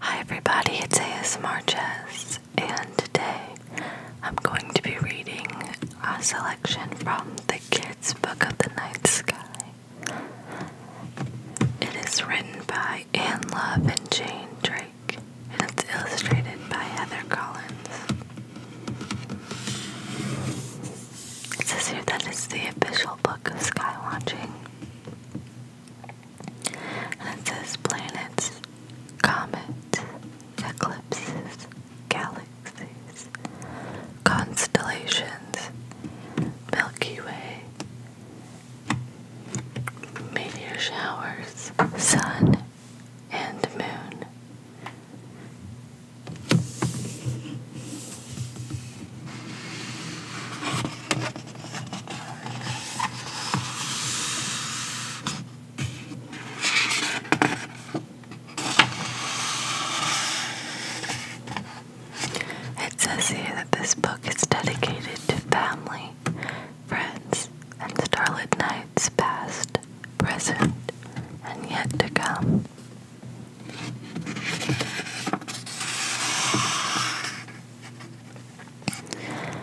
Hi everybody, it's ASMR Jess, and today I'm going to be reading a selection from the Kids Book of the Night Sky. It is written by Anne Love and Jane Drake, and it's illustrated by Heather Collins. It says here that it's the official book of sky watching it says planets, comets, eclipses, galaxies, constellations, Milky Way, meteor showers, sun, and moon. It says here that this book is dedicated to family, friends, and starlit nights past, present, and yet to come.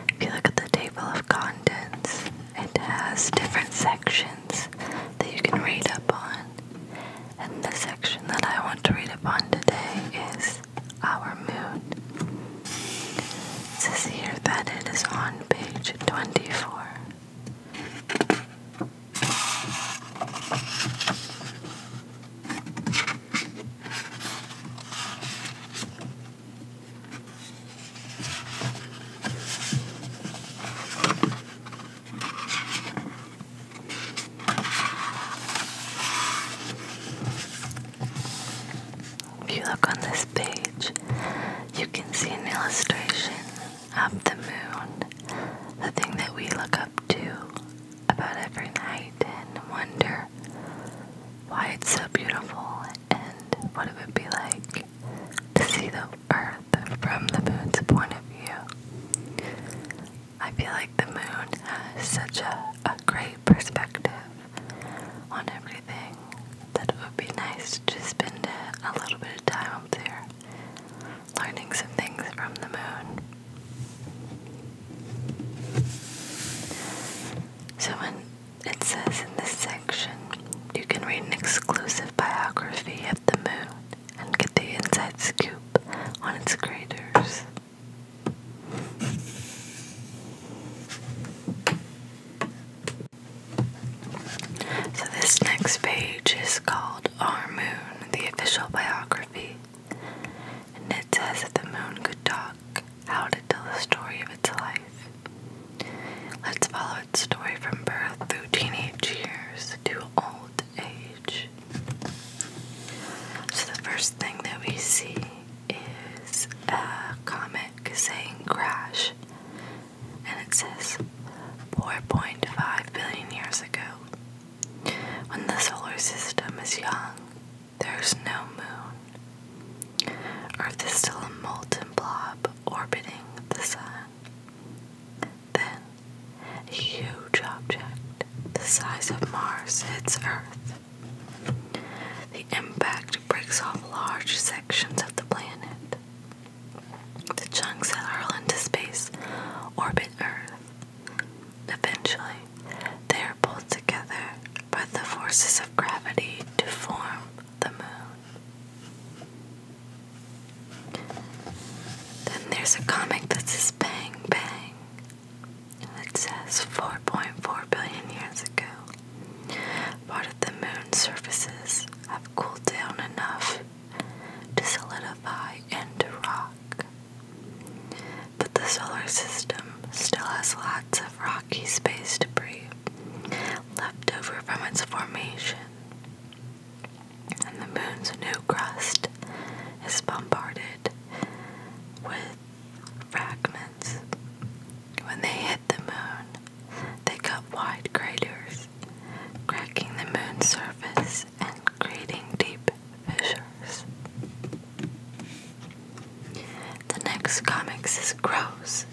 If you look at the table of contents, it has different sections that you can read up on. And the section that I want to read upon today is our moon. It says here that it is on page 24. If you look on this page, you can see an illustration of the moon, the thing that we look up to about every night and wonder why it's so beautiful and what it would be like to see the earth from the moon's point of view. I feel like the moon has such a, a great perspective on everything that it would be nice to spend a little bit of time up there learning some things from the moon. So when it says in this section, you can read an exclusive biography of the moon and get the inside scoop on its craters. So, this next page is called Our Moon, the official biography and it says that the moon could talk, how to tell the story of its life. Let's follow its story from birth through teenage years to old age. So the first thing that we see is a comic saying crash, and it says 4.5 billion years ago. When the solar system is young, there's no moon. Earth is still a molten blob orbiting the sun. Then, a huge object the size of Mars hits Earth. The impact breaks off large sections of the planet. The chunks that hurl into space orbit Earth. Eventually, they are pulled together by the forces of gravity to form the moon. Then there's a comic that says Bang Bang, and it says 4.4 billion years ago, part of the moon's surfaces have cooled down enough to solidify into rock but the solar system still has lots of rocky space debris left over from its formation. And the moon's new crust is bombarded with fragments. When they hit the moon, they cut wide craters, cracking the moon's surface and creating deep fissures. The next comics is Gross,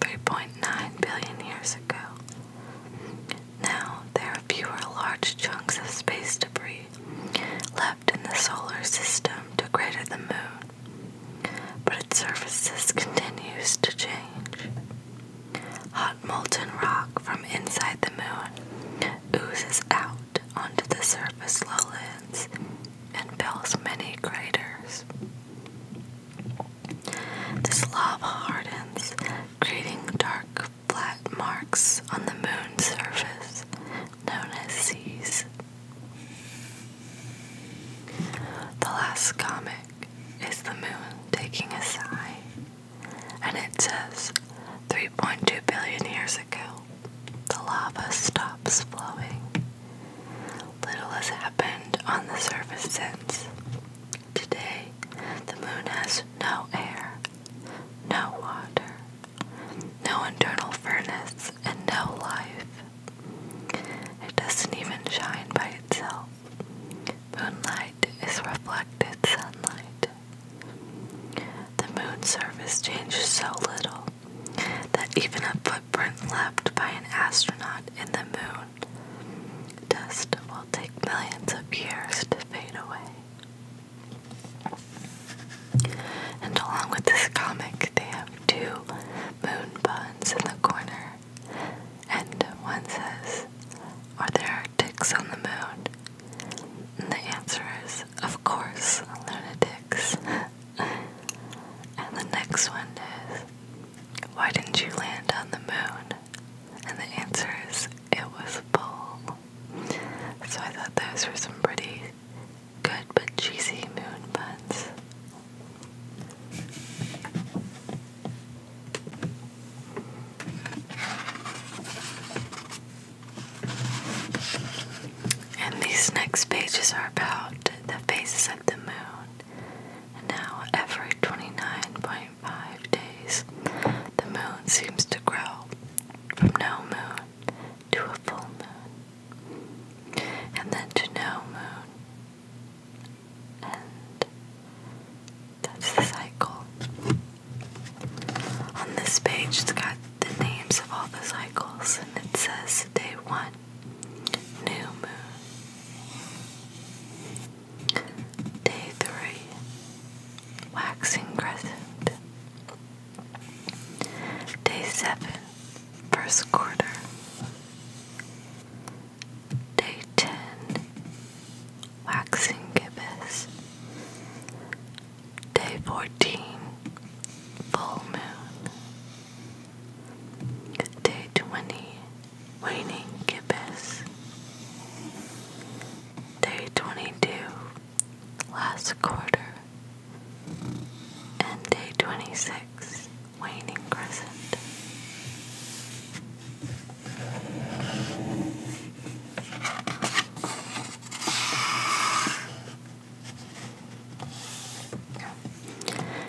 3.9 billion years ago. Now there are fewer large chunks of space debris left in the solar system to crater the moon, but its surface continues to change. Hot molten rock from inside the moon oozes out onto the surface lowlands and fills many craters. This lava hardens, creating dark flat marks on the moon's surface, known as seas. The last comic is the moon taking a sigh, and it says 3.2 billion years ago, the lava stops flowing. Little has happened on the surface since. Today, the moon has no air, no water, no internal furnace, and no life. It doesn't even shine by itself. Moonlight is reflected sunlight. The moon's surface changes so little that even a footprint left by an astronaut in the moon dust will take millions of years to fade away. And along with this comic, they have two moon buns in the corner. And one says, Are there ticks on the moon? And the answer is, of course, lunatics. and the next one is, Why didn't you land on the moon? And the answer is, It was full. So I thought those were some pretty good but cheesy moon puns. And these next pages are about the phases of the moon. And now, every 29.5 days, the moon seems to grow from no moon to a full moon, and then to no moon. And that's the cycle. On this page, it's got the names of all the cycles, and it says day one, new moon, day three, waxing crescent, day seven, first quarter, day ten, waxing gibbous. Day 14, full moon. Day 20, waning gibbous. Day 22, last quarter. And day 26, waning crescent.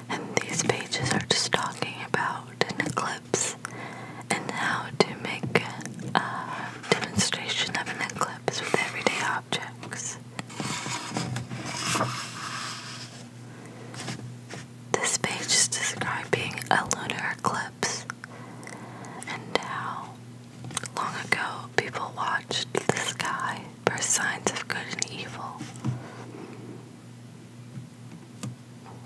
And these pages are just talking about an eclipse and how to make a demonstration of an eclipse with everyday objects. This page is describing a lunar eclipse and how long ago people watched the sky for signs of good and evil.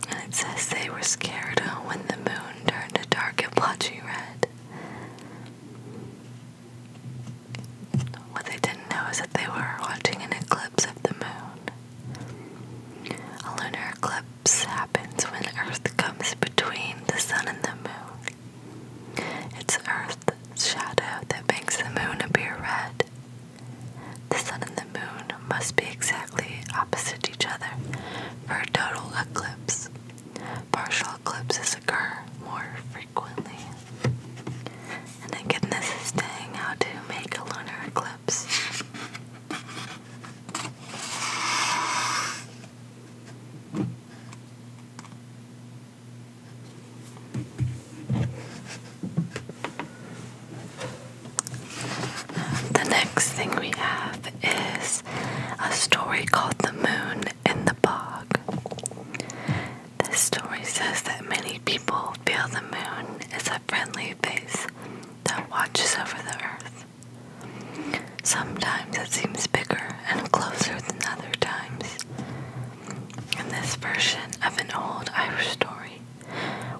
And it says they were scared when the moon turned a dark blotchy red. What they didn't know is that they were watching an eclipse of the moon. A lunar eclipse happens when Earth comes between the sun and the moon. It's Earth's shadow that makes the moon appear red. The sun and the moon must be exactly opposite each other for a total eclipse. Partial eclipses occur more frequently. And again, this is how to make a lunar eclipse. The next thing we have is a story called The Moon in the Bog. This story says that many people feel the moon is a friendly face that watches over the earth. Sometimes it seems bigger and closer than other times, in this version of an old Irish story,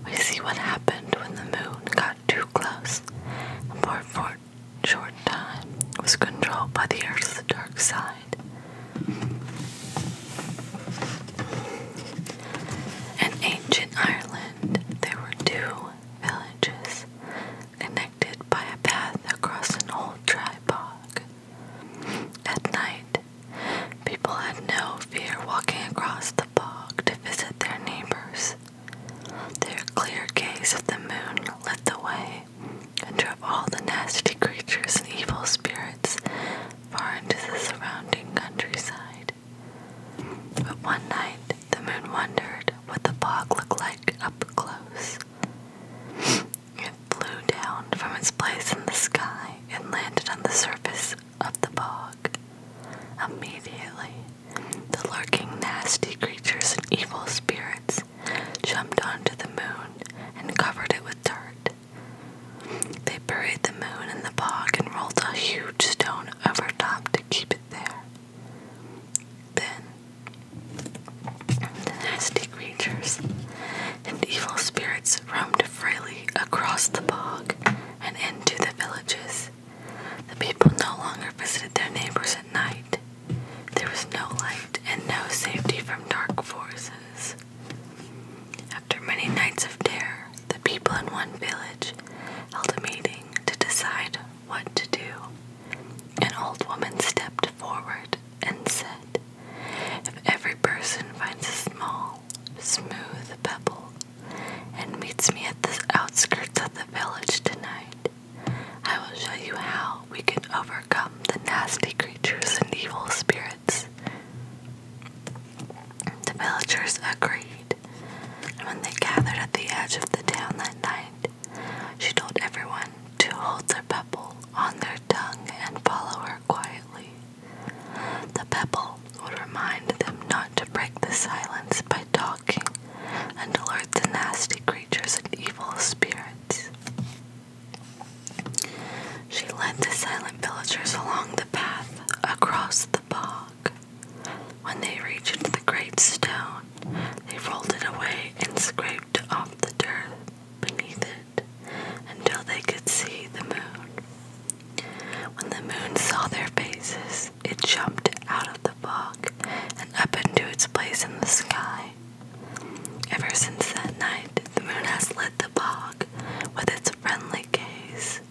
we see what happened when the moon got too close and for a short time was controlled by the earth's dark side. In ancient Ireland, there were two villages connected by a path across an old dry bog. At night, people had no fear walking across the bog to visit their neighbors. Their clear gaze of the moon lit the way and drove all the nasty creatures and evil spirits far into the surrounding countryside. But one night, the moon wondered what the bog looked like up close. It flew down from its place in the sky and landed on the surface of the bog. Immediately, the lurking nasty creatures and evil spirits jumped onto the moon and covered it with dirt. They buried the moon in the bog and rolled a huge stone over top to keep it there. Then, the nasty creatures and evil spirits roamed freely across the bog and into the villages. The people no longer visited their neighbors at night. There was no light and no safety from dark forces. After many nights of terror, the people in one village held a meeting to decide what to do. An old woman stepped forward and said, If every person finds a small, smooth pebble and meets me at the outskirts of the village tonight, I will show you how we can overcome the nasty creatures and evil spirits. The villagers agreed, and when they gathered at the edge of the town that night, she told everyone to hold their on their tongue and follow her quietly. The pebble would remind them not to break the silence by talking and alert the nasty creatures and evil spirits. She led the silent villagers along the path across the bog. When they reached the great stone, they rolled it away and scraped off the dirt beneath it until they could see the moon. When the moon saw their faces, it jumped out of the fog and up into its place in the sky. Ever since that night, the moon has lit the bog with its friendly gaze,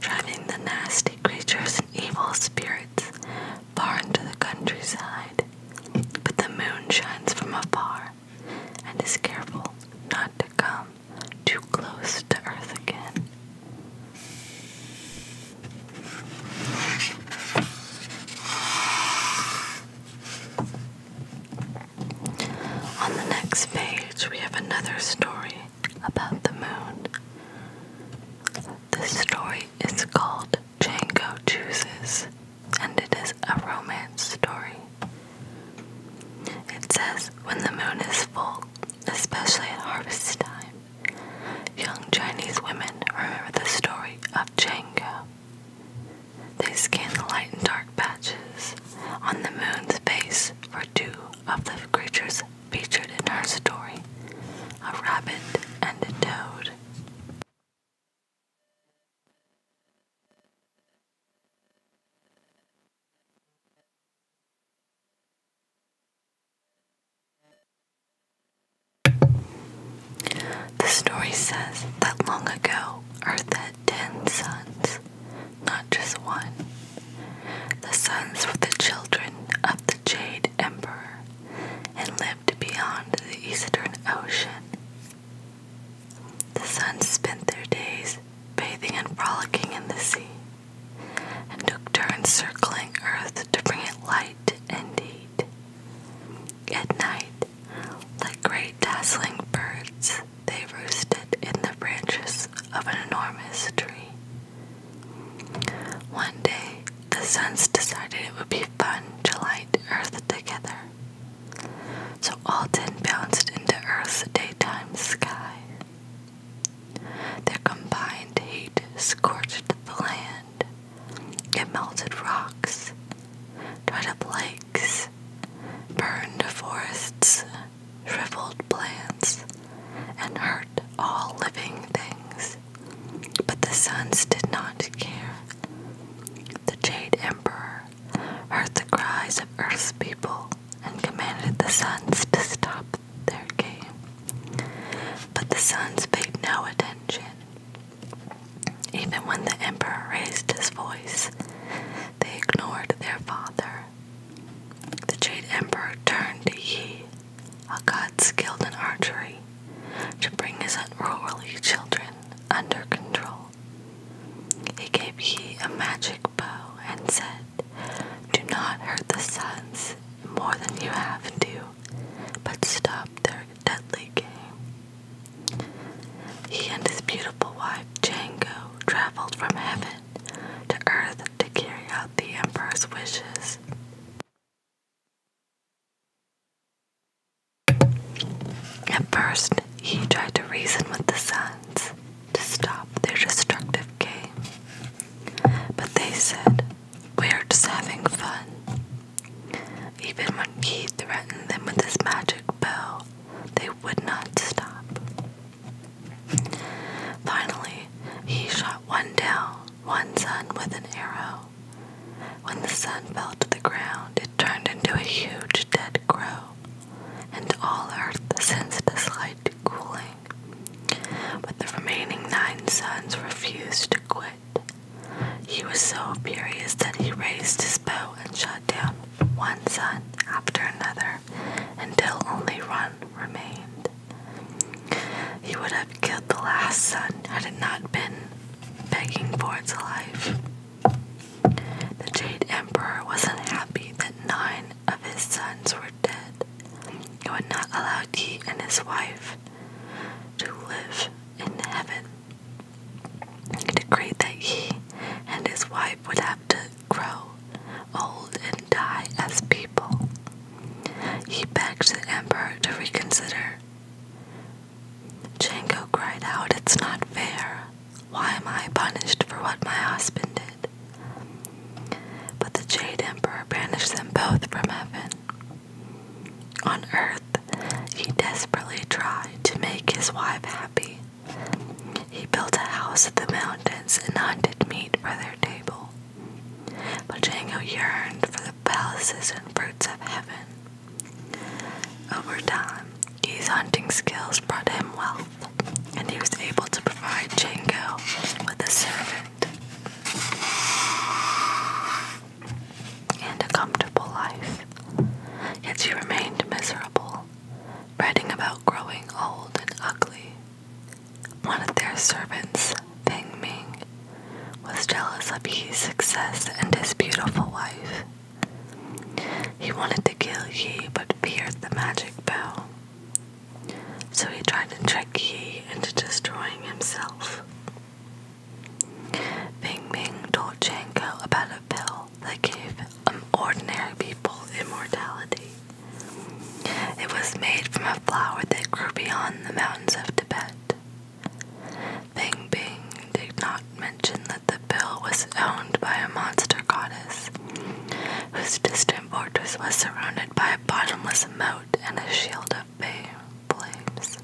driving the nasty creatures and evil spirits far into the countryside. But the moon shines from afar, and is careful not to come too close to Earth again. On the next page, we have another story about the moon. This story is called Django Chooses and it is a romance story. It says, when the moon is full, especially at harvest time, young Chinese women remember the story of Jango. They scan the light and dark patches on the moon's face for two of the creatures featured in our story a rabbit and a toad. The story says that long ago, Earth had ten sons, not just one. The sons were the children of the Jade Emperor and lived beyond the Eastern Ocean the suns spent their days bathing and frolicking in the sea, and took turns circling earth to bring it light and heat. At night, like great dazzling birds, they roosted in the branches of an enormous tree. One day, the suns decided it would be fun to light earth together. So all ten bounced into Earth's daytime sky. Their combined heat scorched the land. It melted rocks, dried up lakes, burned forests, shriveled plants, and hurt all living things. But the suns did not care. The Jade Emperor heard the cries of Earth's people and commanded the sons to stop their game. But the sons paid no attention. Even when the emperor raised his voice, they ignored their father. The Jade Emperor turned to Yi, a god skilled in archery, to bring his unruly children under control. He gave he a magic bow and said, Do not hurt the suns more than you have to, but stop their deadly game. He and his beautiful wife Jango traveled from heaven to earth to carry out the emperor's wishes. At first, he tried to reason with the sun to stop their destructive game. But they said, We're just having fun. Even when he threatened them with his magic bow, they would not stop. Finally, he shot one down, one sun with an arrow. When the sun fell to the ground, it turned into a huge dead crow and all Earth sends this light cooling. But the remaining nine suns refused to quit. He was so furious that he raised his bow and shot down one sun after another until only one remained. He would have killed the last sun had it not been begging for its life. The Jade Emperor wasn't happy that nine of his sons were dead. He would not allow Yi and his wife to live in heaven. He decreed that he and his wife would have to grow old and die as people. He begged the emperor to reconsider. Jango cried out, It's not fair. Why am I punished for what my husband did? But the Jade Emperor banished them both from heaven. On earth, he desperately tried to make his wife happy. He built a house in the mountains and hunted meat for their table. But Jango yearned for the palaces and fruits of heaven. Over time, his hunting skills brought him wealth, and he was able to provide Jango with a servant and a comfortable life. Yet she remained miserable, fretting about growing old and ugly. One of their servants, Ping Ming, was jealous of his success and his beautiful wife. He wanted to kill Yi but feared the magic bell. So he tried to trick Yi into destroying himself. Bing Bing told Janko about a pill that gave um, ordinary people immortality. It was made from a flower that grew beyond the mountains of Tibet. Bing Bing did not Mentioned that the bill was owned by a monster goddess, whose distant fortress was surrounded by a bottomless moat and a shield of flames.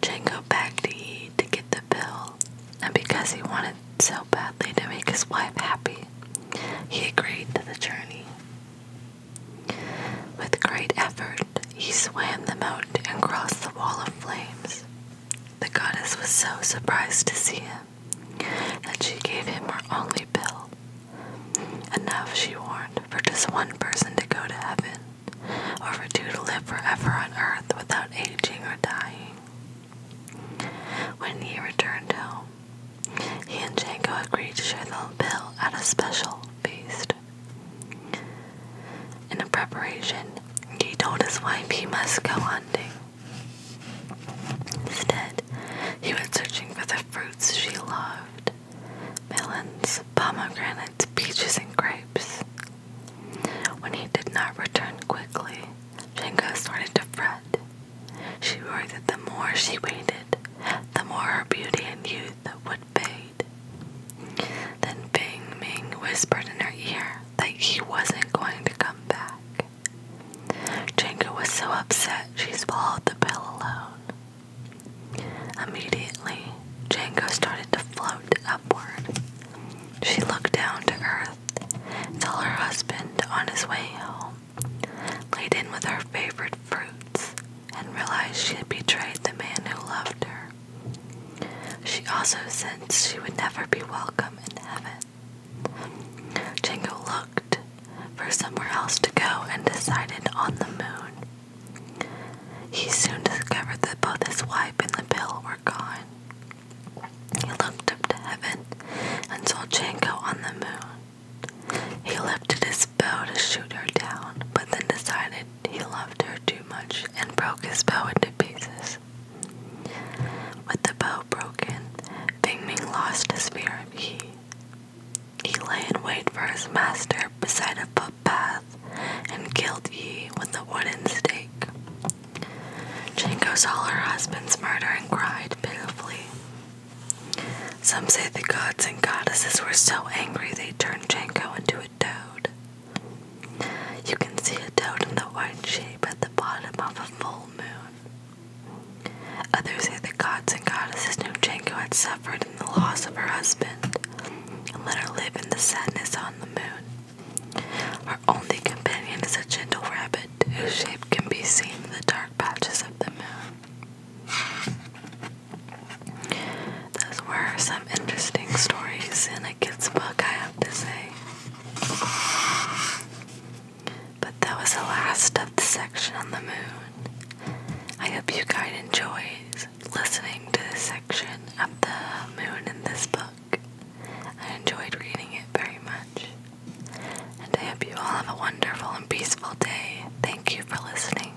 Django begged Yi to get the bill, and because he wanted so badly to make his wife happy, he agreed to the journey. With great effort, he swam the moat and crossed the wall of flames, the goddess was so surprised to see him that she gave him her only pill. Enough, she warned, for just one person to go to heaven, or for two to live forever on earth without aging or dying. When he returned home, he and Janko agreed to share the pill at a special feast. In preparation, he told his wife he must go hunting. Instead, he went searching for the fruits she loved melons, pomegranates, peaches, and grapes. When he did not return quickly, Jinko started to fret. She worried that the more she waited, the more her beauty and youth would fade. Then Fing Ming whispered in her ear, that he wasn't going to come back. Jenga was so upset she swallowed the pill alone. Immediately, Django started to float upward. She looked down to earth and saw her husband on his way home, laden with her favorite fruits, and realized she had betrayed the man who loved her. She also said she would never be welcome in heaven. Jango looked for somewhere else to go and decided on the moon. He soon discovered that both his wife and the pill were gone. He looked up to heaven and saw Jango on the moon. He lifted his bow to shoot her down, but then decided he loved her too much and broke his bow into pieces. With the bow broken, Bing Ming lost his fear of He lay in wait for his master beside a footpath and killed Yi with a wooden stake. Janko saw her husband's murder and cried pitifully. Some say the gods and goddesses were so angry they turned Janko into a toad. You can see a toad in the white shape at the bottom of a full moon. Others say the gods and goddesses knew Janko had suffered in the loss of her husband let her live in the sadness on the moon. Her only companion is a gentle rabbit whose shape can be seen in the dark patches of the moon. Those were some interesting stories in a kid's book, I have to say. But that was the last of the section on the moon. I hope you guys enjoyed listening to this section of the moon in this book. I enjoyed reading it very much. And I hope you all have a wonderful and peaceful day. Thank you for listening.